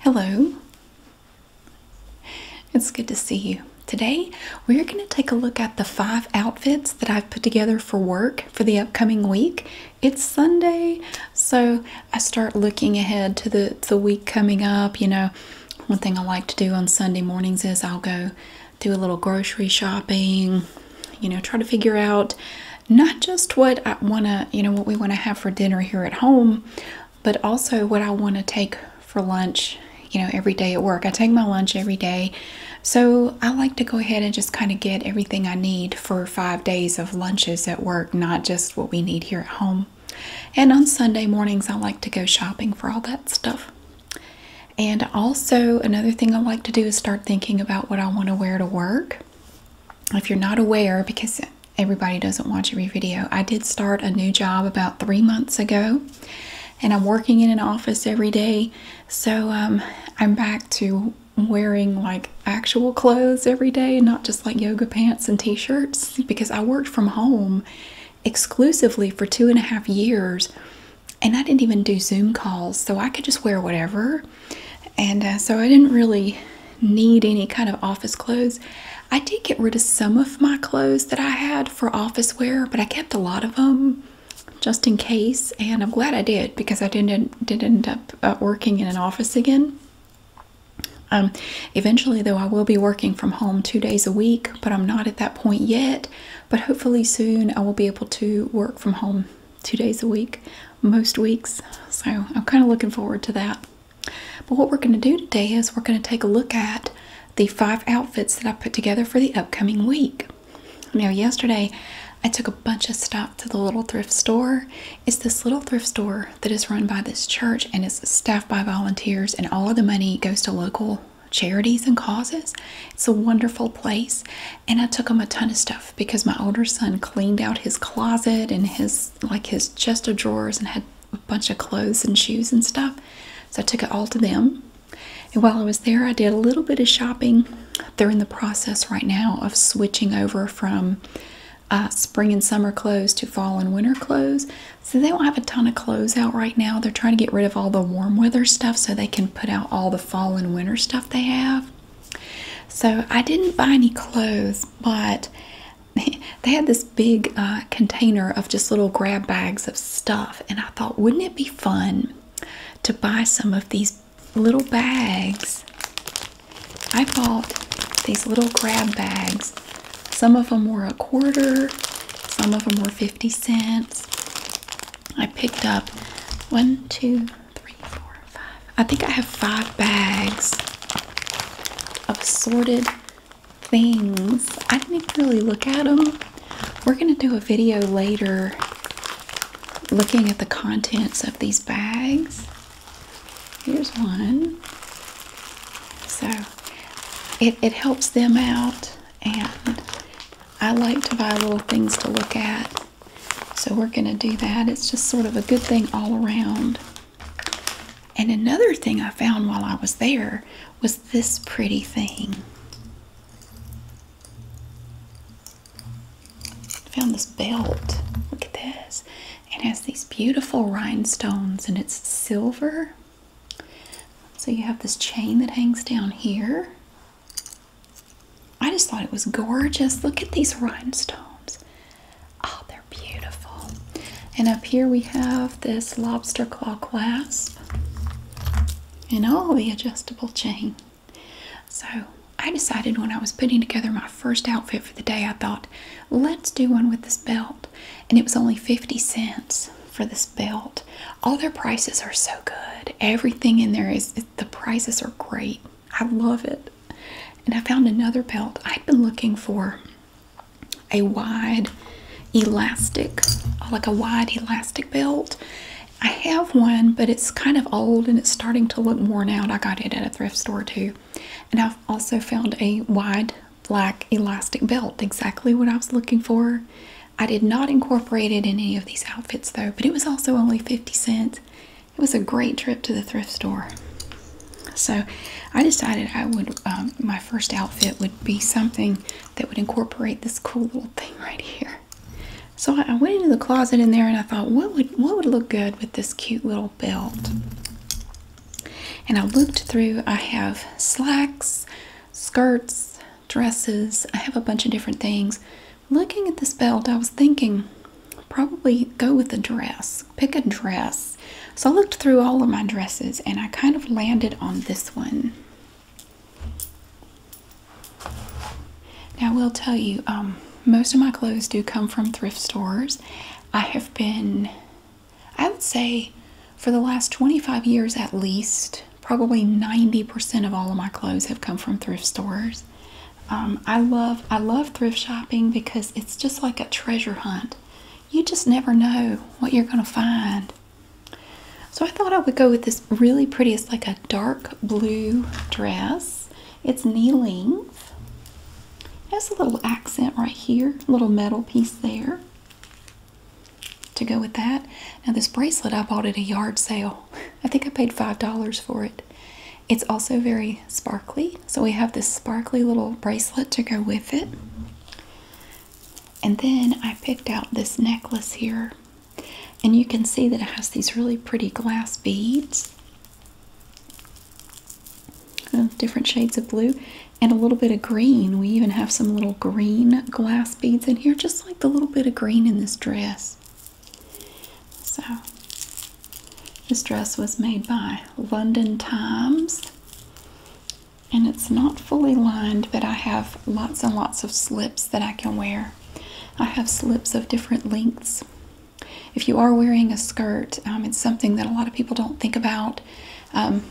Hello. It's good to see you. Today, we're going to take a look at the five outfits that I've put together for work for the upcoming week. It's Sunday, so I start looking ahead to the, the week coming up. You know, one thing I like to do on Sunday mornings is I'll go do a little grocery shopping, you know, try to figure out not just what I want to, you know, what we want to have for dinner here at home, but also what I want to take for lunch, you know, every day at work. I take my lunch every day. So I like to go ahead and just kind of get everything I need for five days of lunches at work, not just what we need here at home. And on Sunday mornings, I like to go shopping for all that stuff. And also, another thing I like to do is start thinking about what I want to wear to work. If you're not aware, because everybody doesn't watch every video. I did start a new job about three months ago, and I'm working in an office every day, so um, I'm back to wearing like actual clothes every day not just like yoga pants and t shirts because I worked from home exclusively for two and a half years and I didn't even do Zoom calls, so I could just wear whatever. And uh, so I didn't really need any kind of office clothes. I did get rid of some of my clothes that I had for office wear, but I kept a lot of them just in case, and I'm glad I did because I didn't did end up uh, working in an office again. Um, eventually, though, I will be working from home two days a week, but I'm not at that point yet. But hopefully, soon I will be able to work from home two days a week, most weeks. So I'm kind of looking forward to that. But what we're going to do today is we're going to take a look at the five outfits that I put together for the upcoming week. Now, yesterday I took a bunch of stuff to the little thrift store. It's this little thrift store that is run by this church and is staffed by volunteers, and all of the money goes to local charities and causes. It's a wonderful place. And I took them a ton of stuff because my older son cleaned out his closet and his like his chest of drawers and had a bunch of clothes and shoes and stuff. So I took it all to them. And while I was there, I did a little bit of shopping. They're in the process right now of switching over from uh, spring and summer clothes to fall and winter clothes. So they don't have a ton of clothes out right now. They're trying to get rid of all the warm weather stuff so they can put out all the fall and winter stuff they have. So I didn't buy any clothes, but they had this big uh, container of just little grab bags of stuff, and I thought, wouldn't it be fun to buy some of these little bags? I bought these little grab bags. Some of them were a quarter, some of them were 50 cents. I picked up one, two, three, four, I think I have five bags of assorted things. I didn't really look at them. We're going to do a video later looking at the contents of these bags. Here's one. So it helps them out, and I like to buy little things to look at. So we're going to do that. It's just sort of a good thing all around. And another thing I found while I was there was this pretty thing. Found this belt. Look at this. It has these beautiful rhinestones and it's silver. So you have this chain that hangs down here. I just thought it was gorgeous. Look at these rhinestones. Oh, they're beautiful. And up here we have this lobster claw clasp and all the adjustable chain. So I decided when I was putting together my first outfit for the day, I thought, let's do one with this belt. And it was only 50 cents for this belt. All their prices are so good. Everything in there is, the prices are great. I love it. And I found another belt. i have been looking for a wide elastic, like a wide elastic belt. I have one, but it's kind of old and it's starting to look worn out. I got it at a thrift store too. And I've also found a wide black elastic belt, exactly what I was looking for. I did not incorporate it in any of these outfits though, but it was also only 50 cents it was a great trip to the thrift store. So I decided I would, um, my first outfit would be something that would incorporate this cool little thing right here. So I, I went into the closet in there and I thought, what would, what would look good with this cute little belt? And I looked through, I have slacks, skirts, dresses, I have a bunch of different things. Looking at this belt, I was thinking probably go with a dress pick a dress. So I looked through all of my dresses and I kind of landed on this one. Now, I will tell you, um, most of my clothes do come from thrift stores. I have been, I would say, for the last 25 years at least, probably 90% of all of my clothes have come from thrift stores. Um, I love I love thrift shopping because it's just like a treasure hunt. You just never know what you're gonna find. So I thought I would go with this really pretty. It's like a dark blue dress. It's knee length. Has a little accent right here, little metal piece there. To go with that. Now this bracelet I bought at a yard sale. I think I paid five dollars for it. It's also very sparkly, so we have this sparkly little bracelet to go with it. And then I picked out this necklace here, and you can see that it has these really pretty glass beads, uh, different shades of blue, and a little bit of green. We even have some little green glass beads in here, just like the little bit of green in this dress. So this dress was made by London Times and it's not fully lined, but I have lots and lots of slips that I can wear. I have slips of different lengths. If you are wearing a skirt, um, it's something that a lot of people don't think about. Um,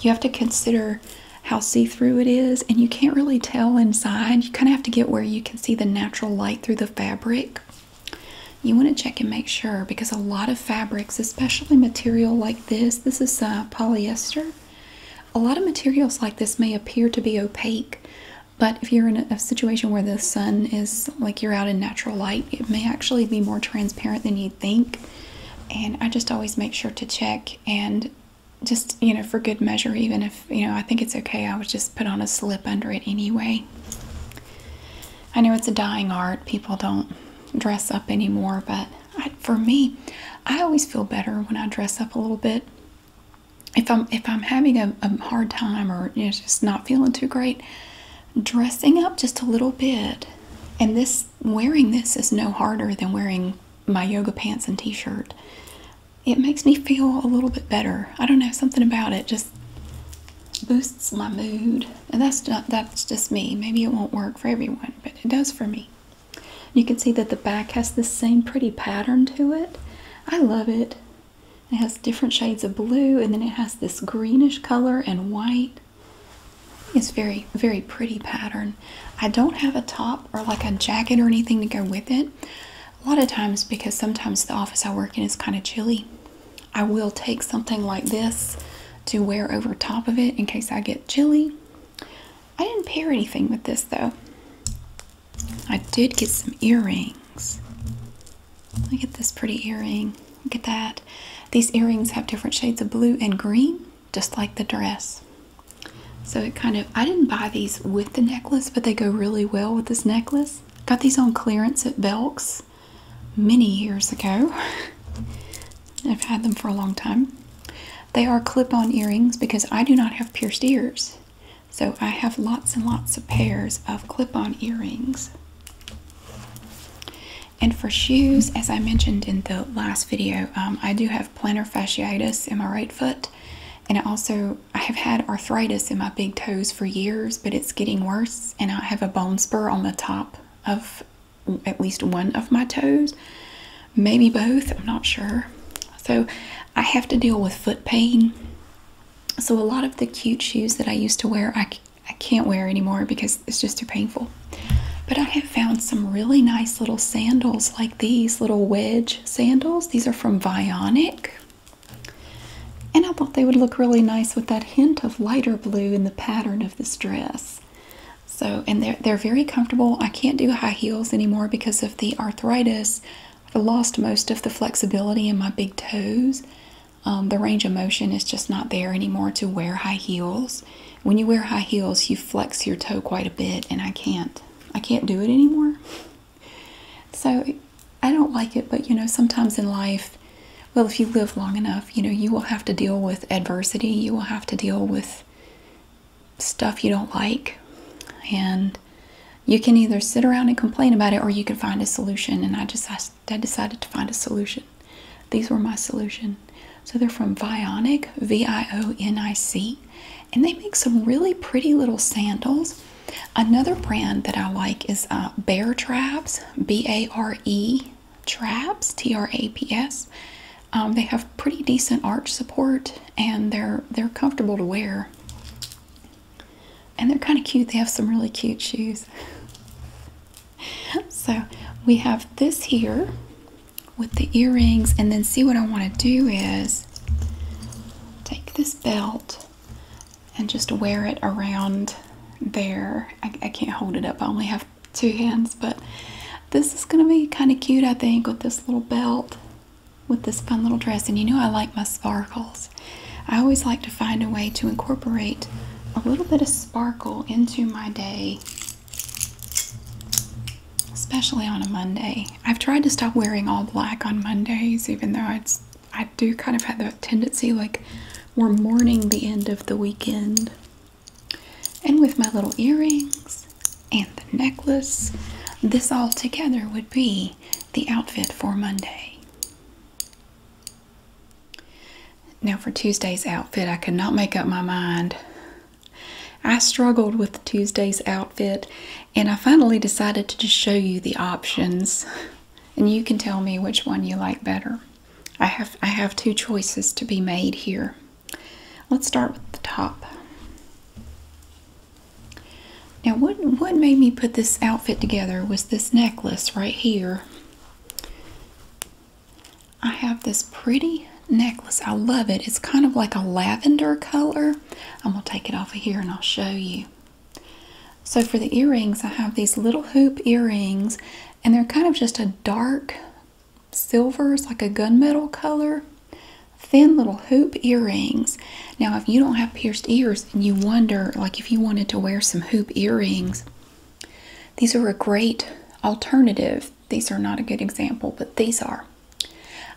you have to consider how see-through it is, and you can't really tell inside. You kind of have to get where you can see the natural light through the fabric. You want to check and make sure because a lot of fabrics, especially material like this, this is uh, polyester. A lot of materials like this may appear to be opaque, but if you're in a situation where the sun is like you're out in natural light, it may actually be more transparent than you think. And I just always make sure to check and just, you know, for good measure, even if, you know, I think it's okay, I would just put on a slip under it anyway. I know it's a dying art. People don't dress up anymore, but for me, I always feel better when I dress up a little bit. If I'm if I'm having a, hard time or just not feeling too great, dressing up just a little bit, and this wearing this is no harder than wearing my yoga pants and t-shirt. It makes me feel a little bit better. I don't know something about it. Just boosts my mood. And that's not that's just me. Maybe it won't work for everyone, but it does for me. You can see that the back has the same pretty pattern to it. I love it. It has different shades of blue and then it has this greenish color and white. It's very, very pretty pattern. I don't have a top or like a jacket or anything to go with it. A lot of times because sometimes the office I work in is kind of chilly I will take something like this to wear over top of it in case I get chilly. I didn't pair anything with this though. I did get some earrings. Look at this pretty earring. Look at that. These earrings have different shades of blue and green, just like the dress. So it kind of, I didn't buy these with the necklace, but they go really well with this necklace. Got these on clearance at Belk's many years ago. I've had them for a long time. They are clip on earrings because I do not have pierced ears. So I have lots and lots of pairs of clip on earrings. And for shoes, as I mentioned in the last video, um, I do have plantar fasciitis in my right foot. And also, I have had arthritis in my big toes for years, but it's getting worse and I have a bone spur on the top of at least one of my toes, maybe both, I'm not sure. So I have to deal with foot pain. So a lot of the cute shoes that I used to wear, I, I can't wear anymore because it's just too painful. But I have found some really nice little sandals like these little wedge sandals. These are from Vionic. And I thought they would look really nice with that hint of lighter blue in the pattern of this dress. So, and they're, they're very comfortable. I can't do high heels anymore because of the arthritis. I've lost most of the flexibility in my big toes. Um, the range of motion is just not there anymore to wear high heels. When you wear high heels, you flex your toe quite a bit, and I can't. I can't do it anymore. So I don't like it, but you know, sometimes in life, well, if you live long enough, you know, you will have to deal with adversity. You will have to deal with stuff you don't like. And you can either sit around and complain about it or you can find a solution. And I just I, decided to find a solution. These were my solution. So they're from Vionic, V I O N I C, and they make some really pretty little sandals. Another brand that I like is uh, Bear Traps, B A R E Traps, T R A P S. Um, they have pretty decent arch support, and they're they're comfortable to wear. And they're kind of cute. They have some really cute shoes. so we have this here with the earrings, and then see what I want to do is take this belt and just wear it around there. I, can't hold it up, I only have two hands, but this is going to be kind of cute, I think, with this little belt, with this fun little dress. And you know, I like my sparkles. I always like to find a way to incorporate a little bit of sparkle into my day, especially on a Monday. I've tried to stop wearing all black on Mondays, even though it's I do kind of have that tendency like we're mourning the end of the weekend. And with my little earrings and the necklace, this all together would be the outfit for Monday. Now, for Tuesday's outfit, I could not make up my mind. I struggled with Tuesday's outfit and I finally decided to just show you the options and you can tell me which one you like better. I have I have two choices to be made here. Let's start with the top. Now what what made me put this outfit together was this necklace right here. I have this pretty necklace. I love it. It's kind of like a lavender color. I'm going to take it off of here and I'll show you. So for the earrings, I have these little hoop earrings, and they're kind of just a dark silver, it's like a gunmetal color. Thin little hoop earrings. Now, if you don't have pierced ears and you wonder, like if you wanted to wear some hoop earrings, these are a great alternative. These are not a good example, but these are.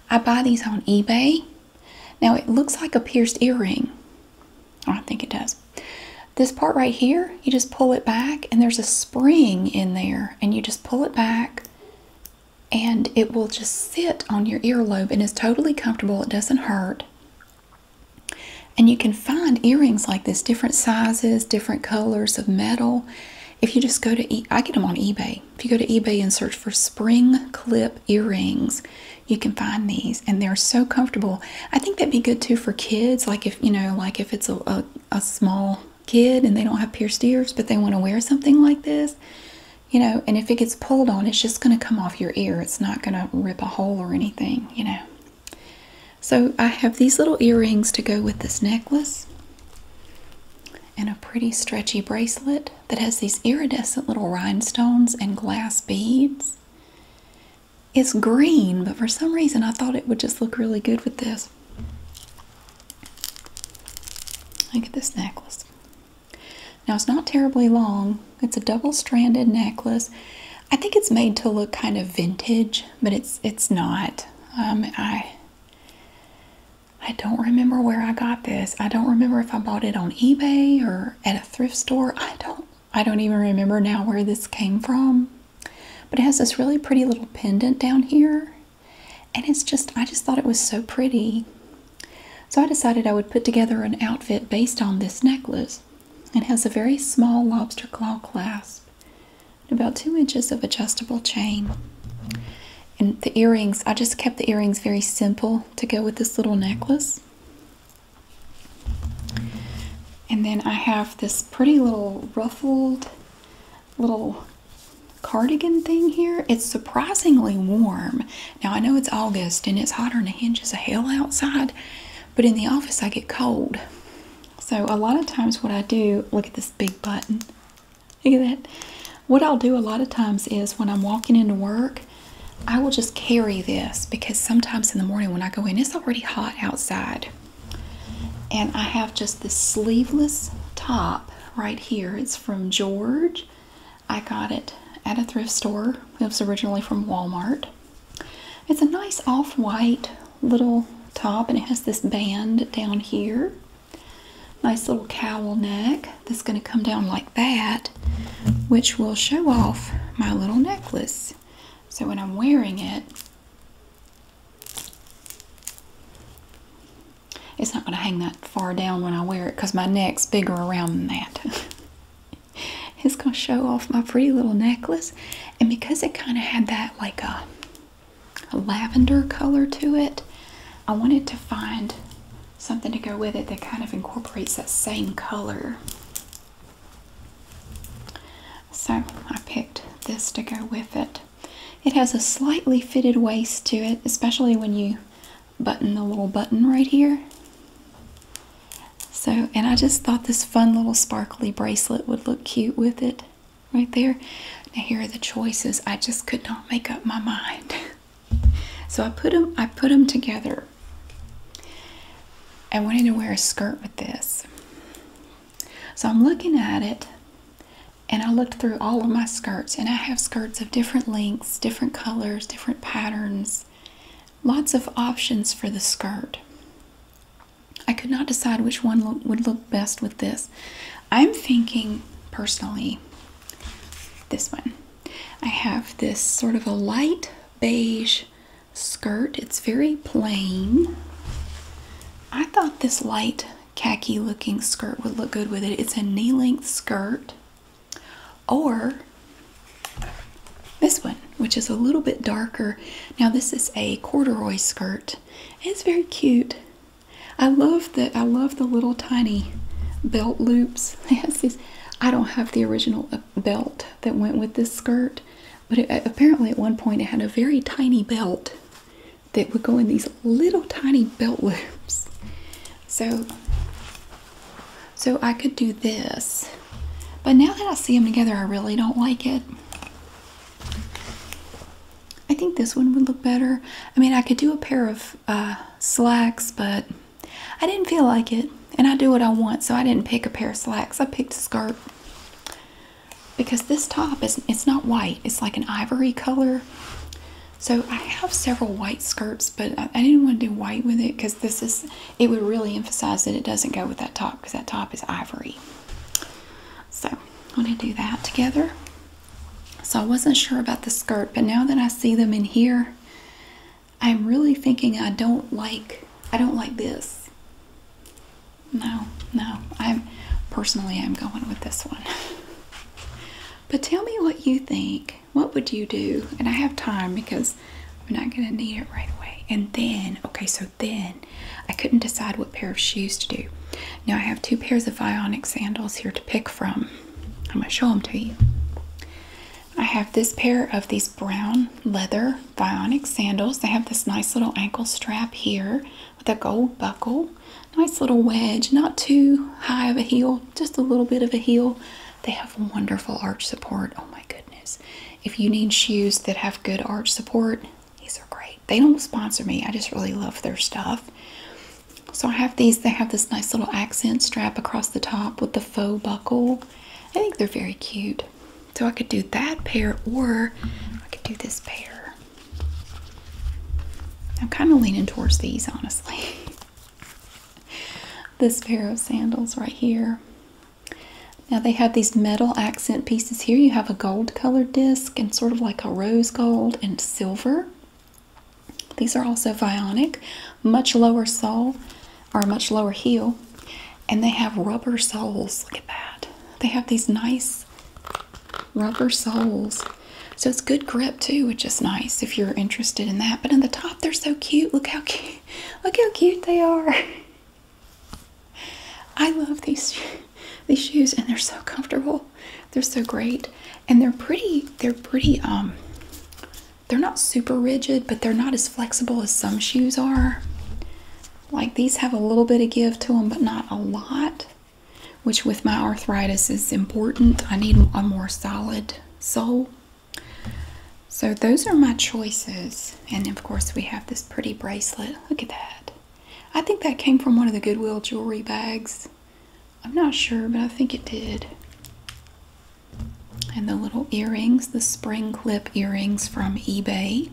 I buy these on eBay. Now, it looks like a pierced earring, I think it does. This part right here, you just pull it back, and there's a spring in there, and you just pull it back, and it will just sit on your earlobe and is totally comfortable. It doesn't hurt. And you can find earrings like this, different sizes, different colors of metal. If you just go to, I get them on eBay. If you go to eBay and search for spring clip earrings, you can find these and they're so comfortable i think that'd be good too for kids like if you know like if it's a, a, small kid and they don't have pierced ears but they want to wear something like this you know and if it gets pulled on it's just going to come off your ear it's not going to rip a hole or anything you know so i have these little earrings to go with this necklace and a pretty stretchy bracelet that has these iridescent little rhinestones and glass beads it's green, but for some reason I thought it would just look really good with this. Look at this necklace. Now it's not terribly long. It's a double-stranded necklace. I think it's made to look kind of vintage, but it's it's not. Um, I I don't remember where I got this. I don't remember if I bought it on eBay or at a thrift store. I don't I don't even remember now where this came from. But it has this really pretty little pendant down here. And it's just, I just thought it was so pretty. So I decided I would put together an outfit based on this necklace. It has a very small lobster claw clasp about two inches of adjustable chain. And the earrings, I just kept the earrings very simple to go with this little necklace. And then I have this pretty little ruffled little cardigan thing here. It's surprisingly warm. Now I know it's August and it's hotter than the hinges of hell outside, but in the office I get cold. So a lot of times what I do, look at this big button. Look at that. What I'll do a lot of times is when I'm walking into work, I will just carry this because sometimes in the morning when I go in, it's already hot outside. And I have just this sleeveless top right here. It's from George. I got it at a thrift store. It was originally from Walmart. It's a nice off-white little top and it has this band down here. Nice little cowl neck that's going to come down like that, which will show off my little necklace. So when I'm wearing it, it's not going to hang that far down when I wear it because my neck's bigger around than that. it's going to show off my pretty little necklace. And because it kind of had that like a lavender color to it, I wanted to find something to go with it that kind of incorporates that same color. So I picked this to go with it. It has a slightly fitted waist to it, especially when you button the little button right here. So, and I just thought this fun little sparkly bracelet would look cute with it right there. Now here are the choices. I just could not make up my mind. So I put them I put them together I wanted to wear a skirt with this. So I'm looking at it and I looked through all of my skirts and I have skirts of different lengths, different colors, different patterns, lots of options for the skirt. I could not decide which one would look best with this. I'm thinking personally this one. I have this sort of a light beige skirt. It's very plain. I thought this light khaki looking skirt would look good with it. It's a knee length skirt or this one, which is a little bit darker. Now this is a corduroy skirt. It's very cute. I love the I love the little tiny belt loops. I don't have the original belt that went with this skirt, but apparently at one point it had a very tiny belt that would go in these little tiny belt loops. So, so I could do this, but now that I see them together, I really don't like it. I think this one would look better. I mean, I could do a pair of uh, slacks, but I didn't feel like it, and I do what I want, so I didn't pick a pair of slacks. I picked a skirt because this top is it's not white, it's like an ivory color. So I have several white skirts, but I, didn't want to do white with it because this is it would really emphasize that it doesn't go with that top because that top is ivory. So I'm going to do that together. So I wasn't sure about the skirt, but now that I see them in here, I'm really thinking I don't like I don't like this. No, no. I'm personally I'm going with this one. but tell me what you think. What would you do? And I have time because I'm not going to need it right away. And then, okay, so then I couldn't decide what pair of shoes to do. Now I have two pairs of Ionic sandals here to pick from. I'm going to show them to you. I have this pair of these brown leather Vionic sandals. They have this nice little ankle strap here with a gold buckle. Nice little wedge, not too high of a heel, just a little bit of a heel. They have wonderful arch support. Oh my goodness. If you need shoes that have good arch support, these are great. They don't sponsor me. I just really love their stuff. So I have these. They have this nice little accent strap across the top with the faux buckle. I think they're very cute. So I could do that pair or I could do this pair. I'm kind of leaning towards these, honestly. this pair of sandals right here. Now they have these metal accent pieces here. You have a gold colored disc and sort of like a rose gold and silver. These are also Vionic, much lower sole. Are a much lower heel. And they have rubber soles. Look at that. They have these nice rubber soles. So it's good grip too, which is nice if you're interested in that. But in the top, they're so cute. Look how cute. Look how cute they are. I love these these shoes and they're so comfortable. They're so great. And they're pretty, they're pretty um they're not super rigid, but they're not as flexible as some shoes are. Like these have a little bit of give to them, but not a lot, which with my arthritis is important. I need a more solid sole. So those are my choices. And of course, we have this pretty bracelet. Look at that. I think that came from one of the Goodwill jewelry bags. I'm not sure, but I think it did and the little earrings, the spring clip earrings from eBay.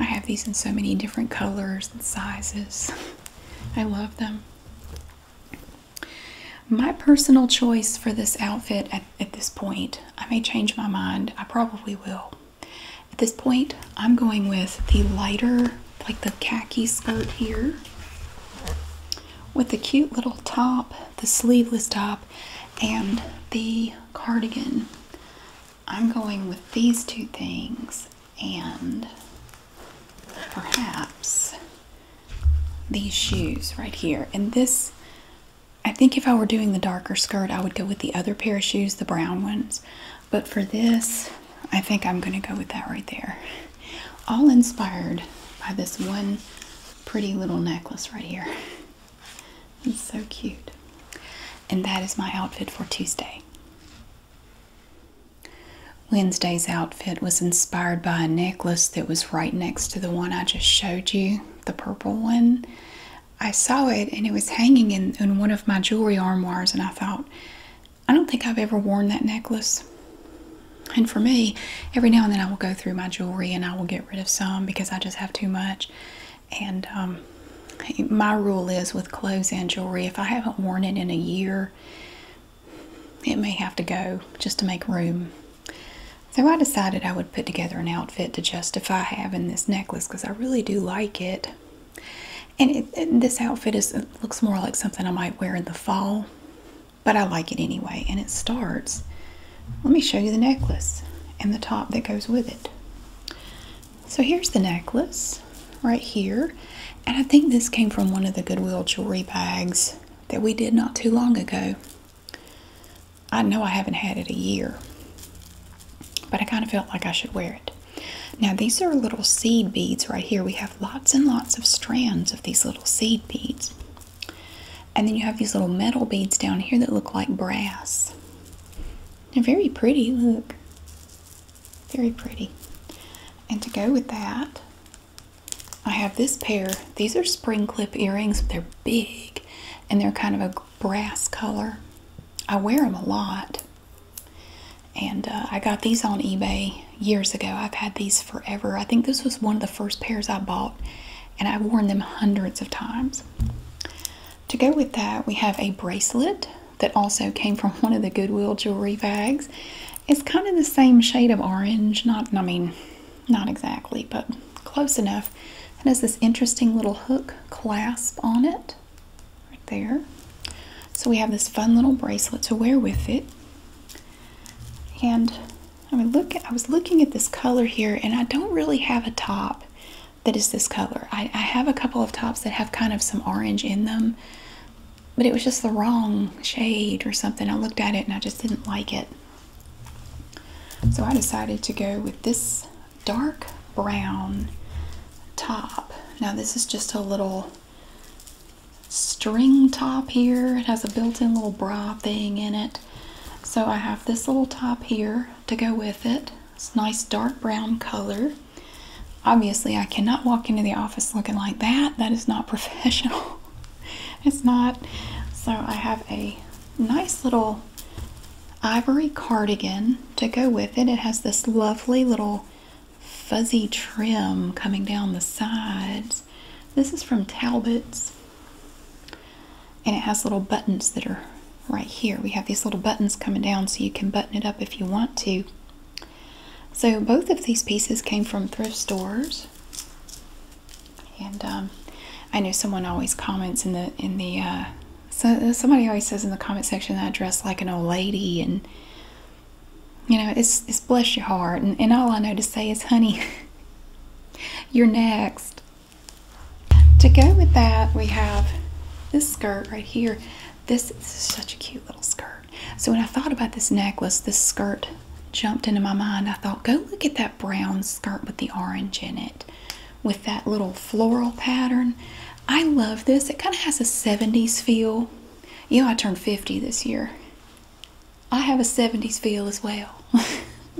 I have these in so many different colors and sizes. I love them. My personal choice for this outfit at, this point, I may change my mind, I probably will. At this point, I'm going with the lighter, like the khaki skirt here with the cute little top, the sleeveless top, and the cardigan. I'm going with these two things and perhaps these shoes right here. And this, I think if I were doing the darker skirt, I would go with the other pair of shoes, the brown ones. But for this, I think I'm going to go with that right there all inspired by this one pretty little necklace right here. It's so cute. And that is my outfit for Tuesday. Wednesday's outfit was inspired by a necklace that was right next to the one I just showed you, the purple one. I saw it and it was hanging in, one of my jewelry armoires, and I thought, I don't think I've ever worn that necklace. And for me, every now and then I will go through my jewelry and I will get rid of some because I just have too much. And um, my rule is with clothes and jewelry, if I haven't worn it in a year, it may have to go just to make room. So I decided I would put together an outfit to justify having this necklace because I really do like it. And, this outfit is looks more like something I might wear in the fall but I like it anyway. And it starts, let me show you the necklace and the top that goes with it. So here's the necklace right here. And I think this came from one of the Goodwill jewelry bags that we did not too long ago. I know I haven't had it a year, but I kind of felt like I should wear it. Now, these are little seed beads right here. We have lots and lots of strands of these little seed beads. And then you have these little metal beads down here that look like brass. They're very pretty, look. Very pretty. And to go with that, I have this pair. These are spring clip earrings. They're big and they're kind of a brass color. I wear them a lot. And uh, I got these on eBay years ago. I've had these forever. I think this was one of the first pairs I bought, and I've worn them hundreds of times. To go with that, we have a bracelet that also came from one of the Goodwill jewelry bags. It's kind of the same shade of orange, not, I mean, not exactly, but close enough. It has this interesting little hook clasp on it, right there. So we have this fun little bracelet to wear with it. And I mean, look, I was looking at this color here, and I don't really have a top that is this color. I, I have a couple of tops that have kind of some orange in them, but it was just the wrong shade or something. I looked at it and I just didn't like it. So I decided to go with this dark brown top. Now this is just a little string top here. It has a built-in little bra thing in it. So I have this little top here to go with it. It's nice dark brown color. Obviously, I cannot walk into the office looking like that. That is not professional. it's not. So I have a nice little ivory cardigan to go with it. It has this lovely little fuzzy trim coming down the sides. This is from Talbot's. And it has little buttons that are right here. We have these little buttons coming down so you can button it up if you want to. So both of these pieces came from thrift stores. And um, I know someone always comments in the, in the, uh, so somebody always says in the comment section that I dress like an old lady and you know, it's, it's bless your heart. And, all I know to say is, honey, you're next. To go with that, we have this skirt right here. This, this is such a cute little skirt. So when I thought about this necklace, this skirt jumped into my mind. I thought, go look at that brown skirt with the orange in it with that little floral pattern. I love this. It kind of has a 70s feel. You know, I turned 50 this year. I have a 70s feel as well.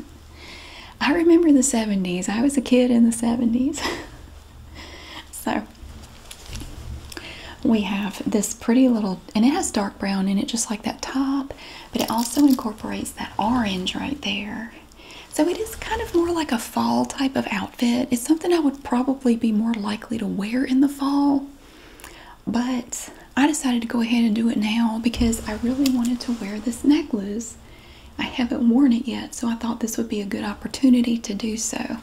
I remember the 70s. I was a kid in the 70s. so we have this pretty little, and it has dark brown in it, just like that top, but it also incorporates that orange right there. So it is kind of more like a fall type of outfit. It's something I would probably be more likely to wear in the fall. But I decided to go ahead and do it now because I really wanted to wear this necklace. I haven't worn it yet, so I thought this would be a good opportunity to do so.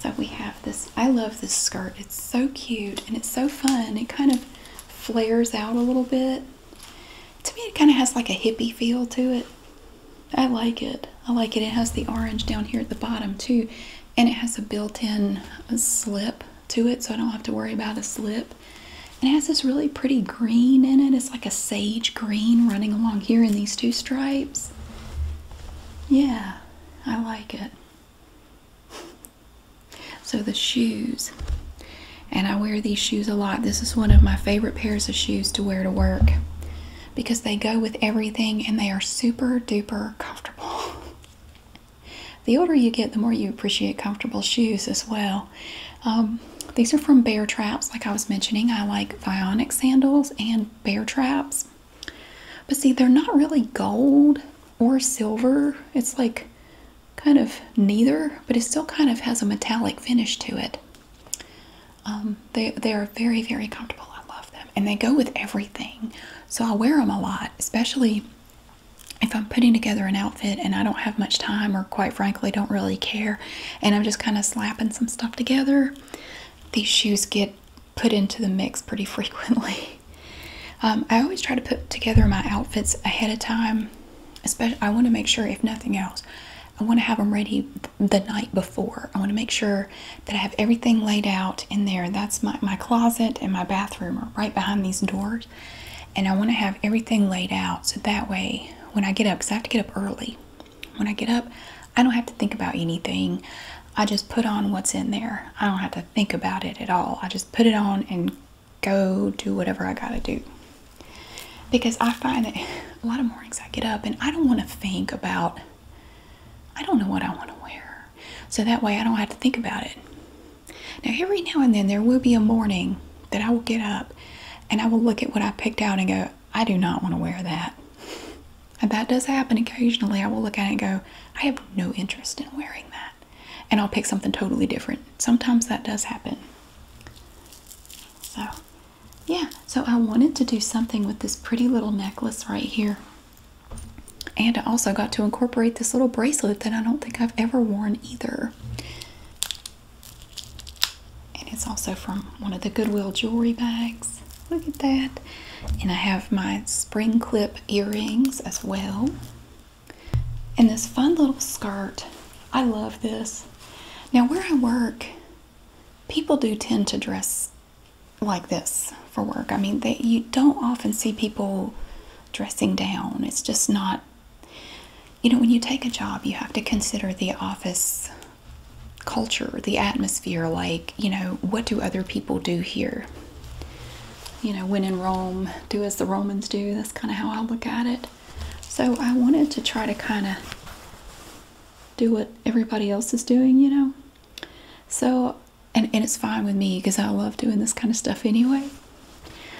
So we have this. I love this skirt. It's so cute and it's so fun. It kind of flares out a little bit. To me, it kind of has like a hippie feel to it. I like it. I like it. It has the orange down here at the bottom too and it has a built-in slip to it so I don't have to worry about a slip. And it has this really pretty green in it. It's like a sage green running along here in these two stripes. Yeah, I like it. So the shoes. And I wear these shoes a lot. This is one of my favorite pairs of shoes to wear to work because they go with everything and they are super duper comfortable. The older you get, the more you appreciate comfortable shoes as well. Um, these are from Bear Traps, like I was mentioning. I like Vionic sandals and Bear Traps. But see, they're not really gold or silver. It's like kind of neither, but it still kind of has a metallic finish to it. Um, they, they are very, very comfortable. I love them. And they go with everything. So I wear them a lot, especially if I'm putting together an outfit and I don't have much time or quite frankly don't really care and I'm just kind of slapping some stuff together. These shoes get put into the mix pretty frequently. Um, I always try to put together my outfits ahead of time. Especially, I want to make sure, if nothing else, I want to have them ready the night before. I want to make sure that I have everything laid out in there. That's my, my closet and my bathroom are right behind these doors. And I want to have everything laid out so that way when I get up, because I have to get up early. When I get up, I don't have to think about anything. I just put on what's in there. I don't have to think about it at all. I just put it on and go do whatever I got to do. Because I find that a lot of mornings I get up and I don't want to think about, I don't know what I want to wear so that way I don't have to think about it. Now, every now and then, there will be a morning that I will get up and I will look at what I picked out and go, I do not want to wear that. And that does happen occasionally. I will look at it and go, I have no interest in wearing that. And I'll pick something totally different. Sometimes that does happen. So, yeah. So, I wanted to do something with this pretty little necklace right here. And I also got to incorporate this little bracelet that I don't think I've ever worn either. And it's also from one of the Goodwill jewelry bags. Look at that. And I have my spring clip earrings as well. And this fun little skirt. I love this. Now, where I work, people do tend to dress like this for work. I mean, that you don't often see people dressing down. It's just not, you know, when you take a job, you have to consider the office culture, the atmosphere. Like, you know, what do other people do here? You know, when in Rome, do as the Romans do. That's kind of how I look at it. So I wanted to try to kind of do what everybody else is doing, you know. So and, and it's fine with me because I love doing this kind of stuff anyway.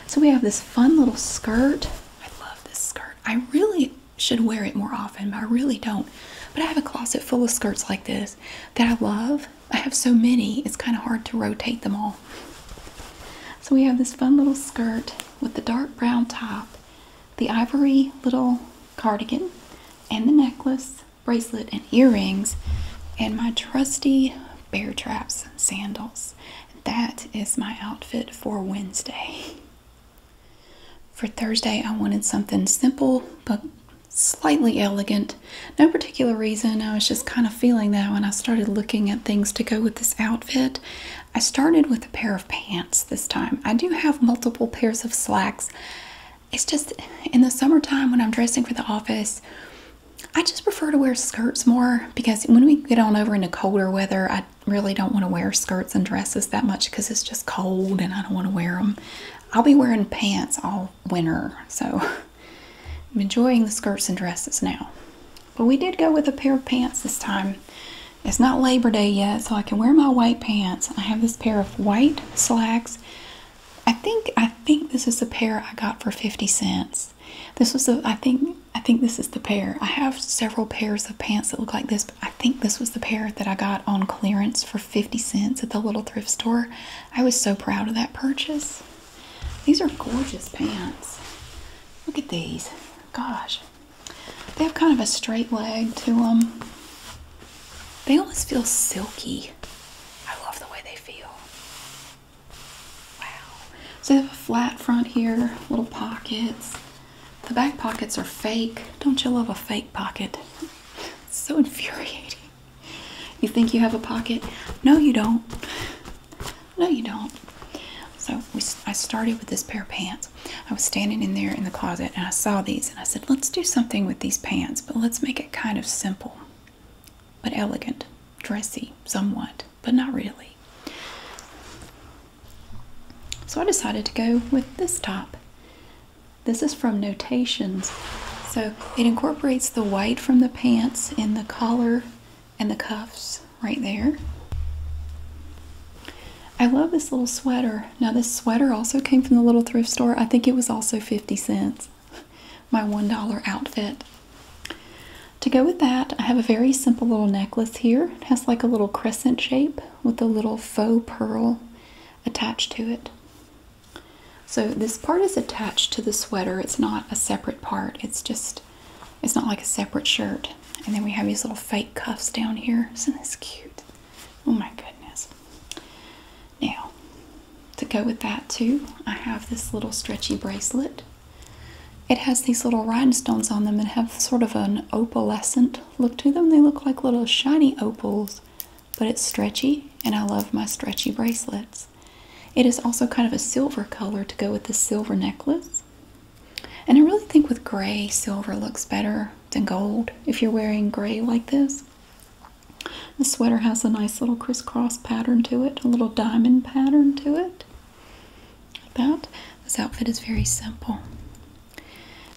So we have this fun little skirt. I love this skirt. I really should wear it more often, but I really don't. But I have a closet full of skirts like this that I love. I have so many, it's kind of hard to rotate them all. So we have this fun little skirt with the dark brown top, the ivory little cardigan, and the necklace, bracelet, and earrings, and my trusty bear traps sandals. That is my outfit for Wednesday. For Thursday, I wanted something simple but slightly elegant. No particular reason, I was just kind of feeling that when I started looking at things to go with this outfit. I started with a pair of pants this time. I do have multiple pairs of slacks it's just in the summertime when I'm dressing for the office, I just prefer to wear skirts more because when we get on over into colder weather, I really don't want to wear skirts and dresses that much because it's just cold and I don't want to wear them. I'll be wearing pants all winter, so I'm enjoying the skirts and dresses now. But we did go with a pair of pants this time. It's not Labor Day yet, so I can wear my white pants. I have this pair of white slacks. I think I think this is the pair I got for 50 cents. This was the I think I think this is the pair. I have several pairs of pants that look like this, but I think this was the pair that I got on clearance for 50 cents at the little thrift store. I was so proud of that purchase. These are gorgeous pants. Look at these. Gosh. They have kind of a straight leg to them. They almost feel silky. I love the way they feel. Wow. So they have a flat front here, little pockets. The back pockets are fake. Don't you love a fake pocket? so infuriating. You think you have a pocket? No, you don't. No, you don't. So I started with this pair of pants. I was standing in there in the closet and I saw these and I said, let's do something with these pants, but let's make it." kind of simple, but elegant, dressy, somewhat, but not really. So I decided to go with this top. This is from Notations. So it incorporates the white from the pants in the collar and the cuffs right there. I love this little sweater. Now this sweater also came from the little thrift store. I think it was also 50 cents. My $1 outfit. To go with that, I have a very simple little necklace here. It has like a little crescent shape with a little faux pearl attached to it. So this part is attached to the sweater. It's not a separate part. It's just, it's not like a separate shirt. And then we have these little fake cuffs down here. Isn't this cute? Oh my goodness. Now, to go with that too i have this little stretchy bracelet it has these little rhinestones on them and have sort of an opalescent look to them they look like little shiny opals but it's stretchy and i love my stretchy bracelets it is also kind of a silver color to go with this silver necklace and i really think with gray silver looks better than gold if you're wearing gray like this the sweater has a nice little crisscross pattern to it, a little diamond pattern to it. Like that. This outfit is very simple.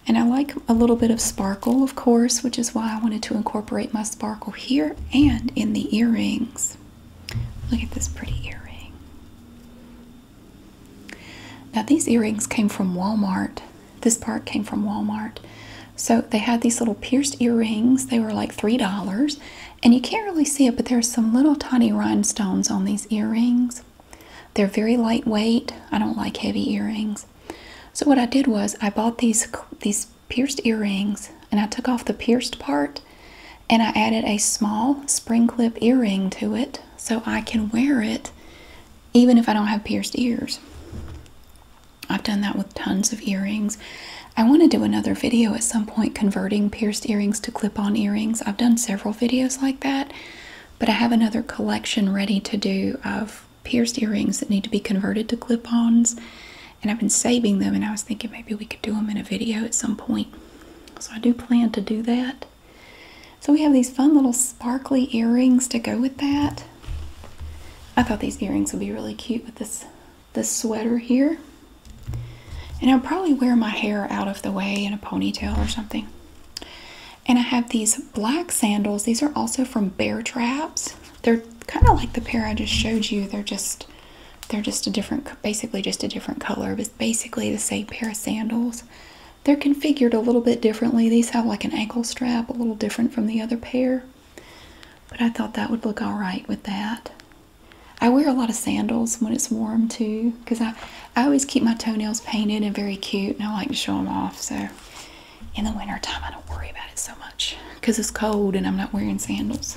And I like a little bit of sparkle, of course, which is why I wanted to incorporate my sparkle here and in the earrings. Look at this pretty earring. Now, these earrings came from Walmart. This part came from Walmart. So they had these little pierced earrings. They were like $3. And you can't really see it, but there's some little tiny rhinestones on these earrings. They're very lightweight. I don't like heavy earrings. So what I did was I bought these these pierced earrings and I took off the pierced part and I added a small spring clip earring to it so I can wear it even if I don't have pierced ears. I've done that with tons of earrings. I want to do another video at some point converting pierced earrings to clip on earrings. I've done several videos like that, but I have another collection ready to do of pierced earrings that need to be converted to clip ons. And I've been saving them, and I was thinking maybe we could do them in a video at some point. So I do plan to do that. So we have these fun little sparkly earrings to go with that. I thought these earrings would be really cute with this this sweater here. And I'll probably wear my hair out of the way in a ponytail or something. And I have these black sandals. These are also from Bear Traps. They're kind of like the pair I just showed you. They're just they're just a different basically just a different color, but basically the same pair of sandals. They're configured a little bit differently. These have like an ankle strap, a little different from the other pair. But I thought that would look all right with that. I wear a lot of sandals when it's warm too because I, I always keep my toenails painted and very cute and I like to show them off. So in the wintertime, I don't worry about it so much because it's cold and I'm not wearing sandals.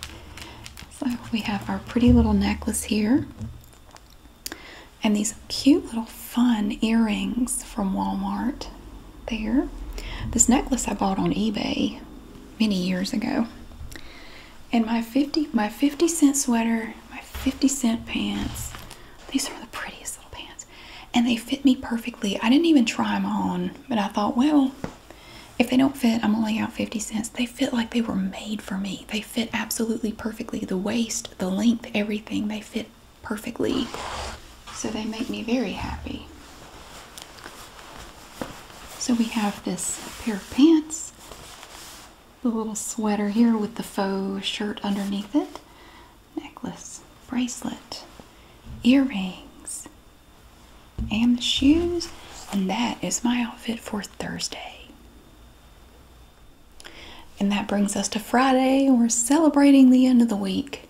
so we have our pretty little necklace here and these cute little fun earrings from Walmart there. This necklace I bought on eBay many years ago. And my 50 my 50 cent sweater, my 50 cent pants. These are the prettiest little pants. And they fit me perfectly. I didn't even try them on, but I thought, well, if they don't fit, I'm only out 50 cents. They fit like they were made for me. They fit absolutely perfectly. The waist, the length, everything. They fit perfectly. So they make me very happy. So we have this pair of pants, the little sweater here with the faux shirt underneath it, necklace, bracelet, earrings, and the shoes. And that is my outfit for Thursday. And that brings us to Friday. We're celebrating the end of the week.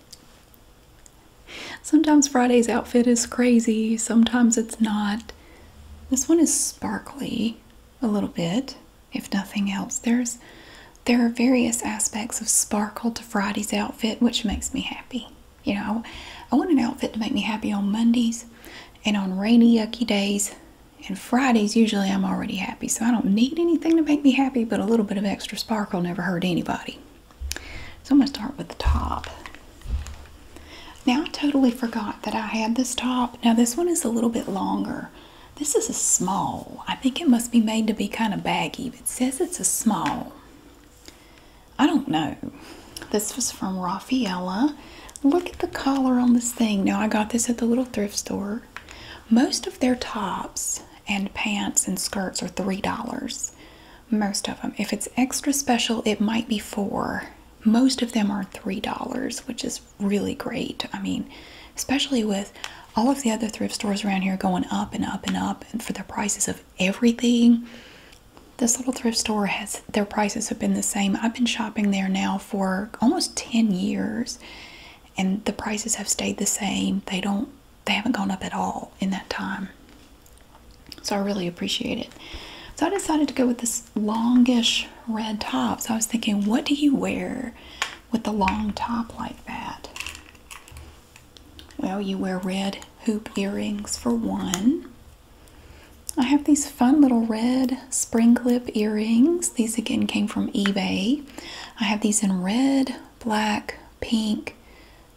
Sometimes Friday's outfit is crazy, sometimes it's not. This one is sparkly a little bit, if nothing else. There's there are various aspects of sparkle to Friday's outfit, which makes me happy. You know, I want an outfit to make me happy on Mondays and on rainy, yucky days. And Fridays, usually I'm already happy, so I don't need anything to make me happy, but a little bit of extra sparkle never hurt anybody. So I'm going to start with the top. Now I totally forgot that I had this top. Now this one is a little bit longer. This is a small. I think it must be made to be kind of baggy. It says it's a small. I don't know. This was from Raffaella. Look at the collar on this thing. Now I got this at the little thrift store. Most of their tops and pants and skirts are three dollars most of them if it's extra special it might be four most of them are three dollars which is really great i mean especially with all of the other thrift stores around here going up and up and up and for the prices of everything this little thrift store has their prices have been the same i've been shopping there now for almost 10 years and the prices have stayed the same. They don't they haven't gone up at all in that time. So I really appreciate it. So I decided to go with this longish red top. So I was thinking, what do you wear with a long top like that? Well, you wear red hoop earrings for one. I have these fun little red spring clip earrings. These again came from eBay. I have these in red, black, pink,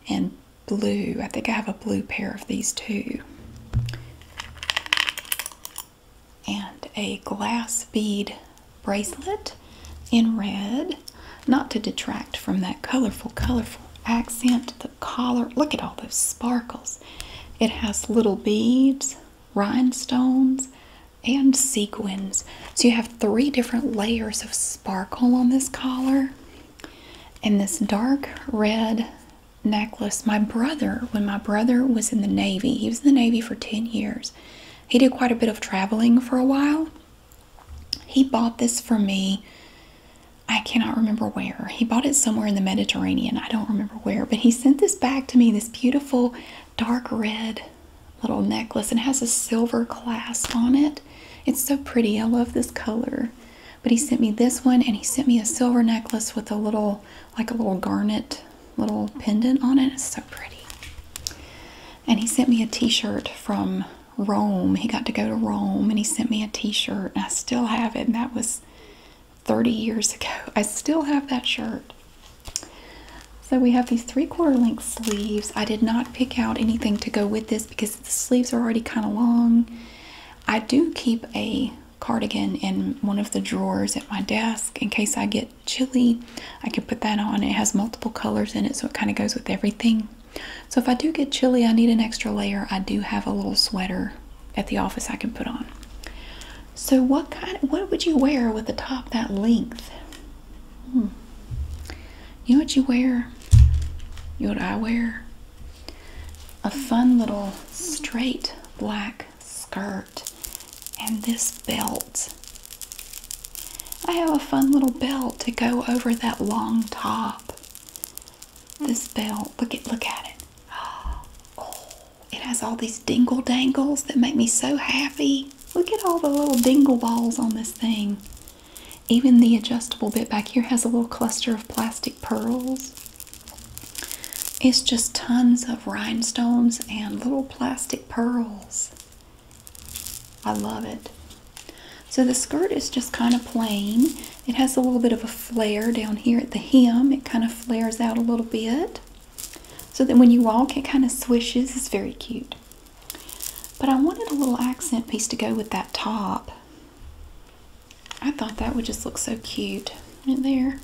and blue. I think I have a blue pair of these too. And a glass bead bracelet in red. Not to detract from that colorful, colorful accent, the collar. Look at all those sparkles. It has little beads, rhinestones, and sequins. So you have three different layers of sparkle on this collar and this dark red necklace. My brother, when my brother was in the Navy, he was in the Navy for 10 years. He did quite a bit of traveling for a while. He bought this for me. I cannot remember where. He bought it somewhere in the Mediterranean. I don't remember where, but he sent this back to me, this beautiful dark red little necklace and has a silver clasp on it. It's so pretty. I love this color. But he sent me this one and he sent me a silver necklace with a little, like a little garnet little pendant on it. It's so pretty. And he sent me a t-shirt from Rome. He got to go to Rome and he sent me a t-shirt and I still have it and that was 30 years ago. I still have that shirt. So we have these three quarter length sleeves. I did not pick out anything to go with this because the sleeves are already kind of long. I do keep a cardigan in one of the drawers at my desk in case I get chilly. I can put that on. It has multiple colors in it so it kind of goes with everything. So if I do get chilly, I need an extra layer. I do have a little sweater at the office I can put on. So what kind what would you wear with a top that length? Hmm. You know what you wear? You know what I wear? A fun little straight black skirt and this belt. I have a fun little belt to go over that long top. This belt, look at look at it. Oh, it has all these dingle dangles that make me so happy. Look at all the little dingle balls on this thing. Even the adjustable bit back here has a little cluster of plastic pearls. It's just tons of rhinestones and little plastic pearls. I love it. So the skirt is just kind of plain. It has a little bit of a flare down here at the hem. It kind of flares out a little bit. So that when you walk, it kind of swishes. It's very cute. But I wanted a little accent piece to go with that top. I thought that would just look so cute in there.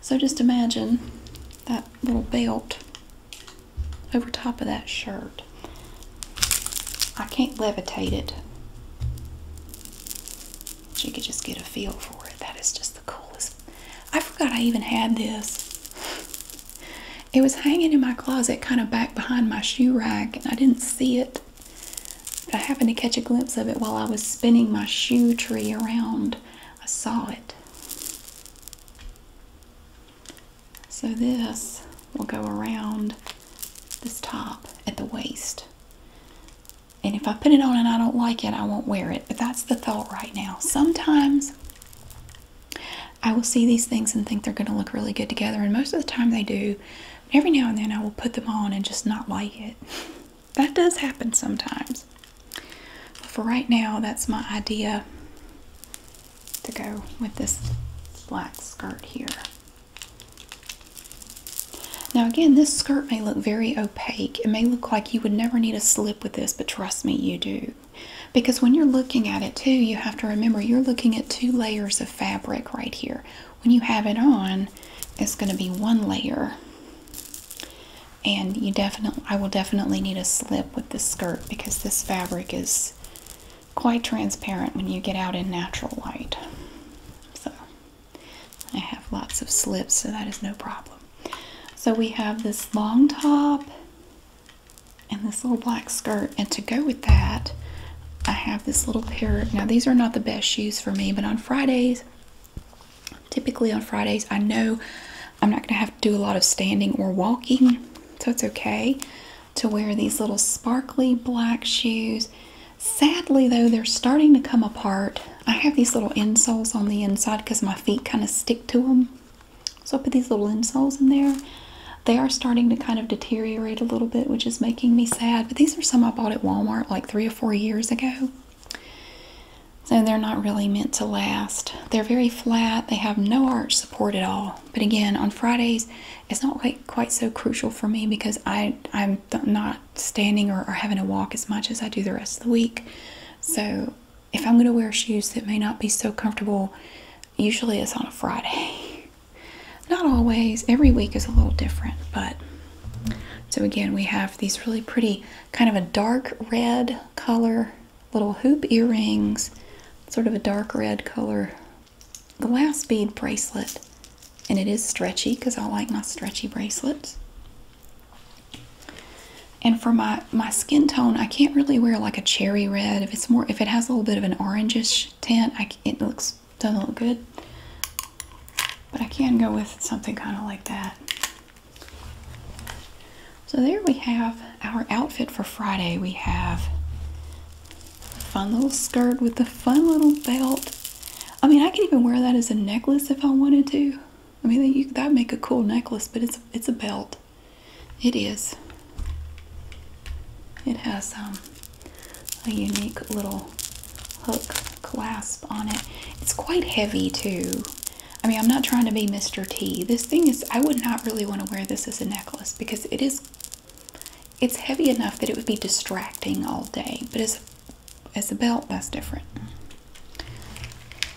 So just imagine that little belt over top of that shirt. I can't levitate it. But you could just get a feel for it. That is just coolest. I forgot I even had this. It was hanging in my closet, kind of back behind my shoe rack, and I didn't see it. But I happened to catch a glimpse of it while I was spinning my shoe tree around. I saw it. So this will go around this top at the waist. And if I put it on and I don't like it, I won't wear it. But that's the thought right now. Sometimes I will see these things and think they're going to look really good together, and most of the time they do. Every now and then I will put them on and just not like it. That does happen sometimes. But for right now, that's my idea to go with this black skirt here. Now again, this skirt may look very opaque. It may look like you would never need a slip with this, but trust me, you do. Because when you're looking at it too, you have to remember you're looking at two layers of fabric right here. When you have it on, it's going to be one layer. And you definitely, I will definitely need a slip with this skirt because this fabric is quite transparent when you get out in natural light. So I have lots of slips, so that is no problem. So we have this long top and this little black skirt. And to go with that, I have this little pair. Now, these are not the best shoes for me, but on Fridays, typically on Fridays, I know I'm not going to have to do a lot of standing or walking. So it's okay to wear these little sparkly black shoes. Sadly, though, they're starting to come apart. I have these little insoles on the inside because my feet kind of stick to them. So I put these little insoles in there. They are starting to kind of deteriorate a little bit, which is making me sad. But these are some I bought at Walmart like three or four years ago. So they're not really meant to last. They're very flat. They have no arch support at all. But again, on Fridays, it's not quite, so crucial for me because I, I'm not standing or having to walk as much as I do the rest of the week. So if I'm going to wear shoes that may not be so comfortable, usually it's on a Friday. Not always, every week is a little different, but so again, we have these really pretty kind of a dark red color, little hoop earrings, sort of a dark red color glass bead bracelet, and it is stretchy because I like my stretchy bracelets. And for my my skin tone, I can't really wear like a cherry red. If it's more, if it has a little bit of an orangish tint, it looks doesn't look good. But I can go with something kind of like that. So there we have our outfit for Friday. We have a fun little skirt with a fun little belt. I mean, I could even wear that as a necklace if I wanted to. I mean, you, that'd make a cool necklace, but it's it's a belt. It is. It has um, a unique little hook clasp on it. It's quite heavy too. I mean, I'm not trying to be Mr. T. This thing is, I would not really want to wear this as a necklace because it is, it's heavy enough that it would be distracting all day. But as, as a belt, that's different.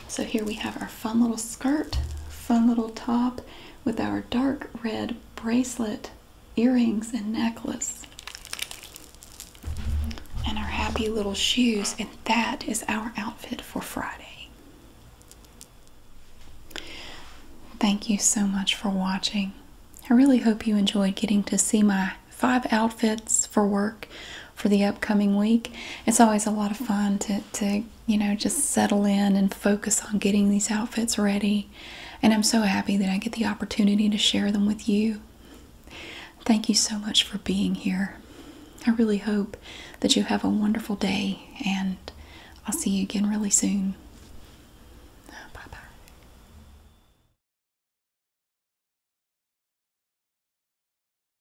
So here we have our fun little skirt, fun little top with our dark red bracelet, earrings, and necklace. And our happy little shoes, and that is our outfit for Friday. Thank you so much for watching. I really hope you enjoyed getting to see my five outfits for work for the upcoming week. It's always a lot of fun to, to you know, just settle in and focus on getting these outfits ready. And I'm so happy that I get the opportunity to share them with you. Thank you so much for being here. I really hope that you have a wonderful day, and I'll see you again really soon. Bye bye.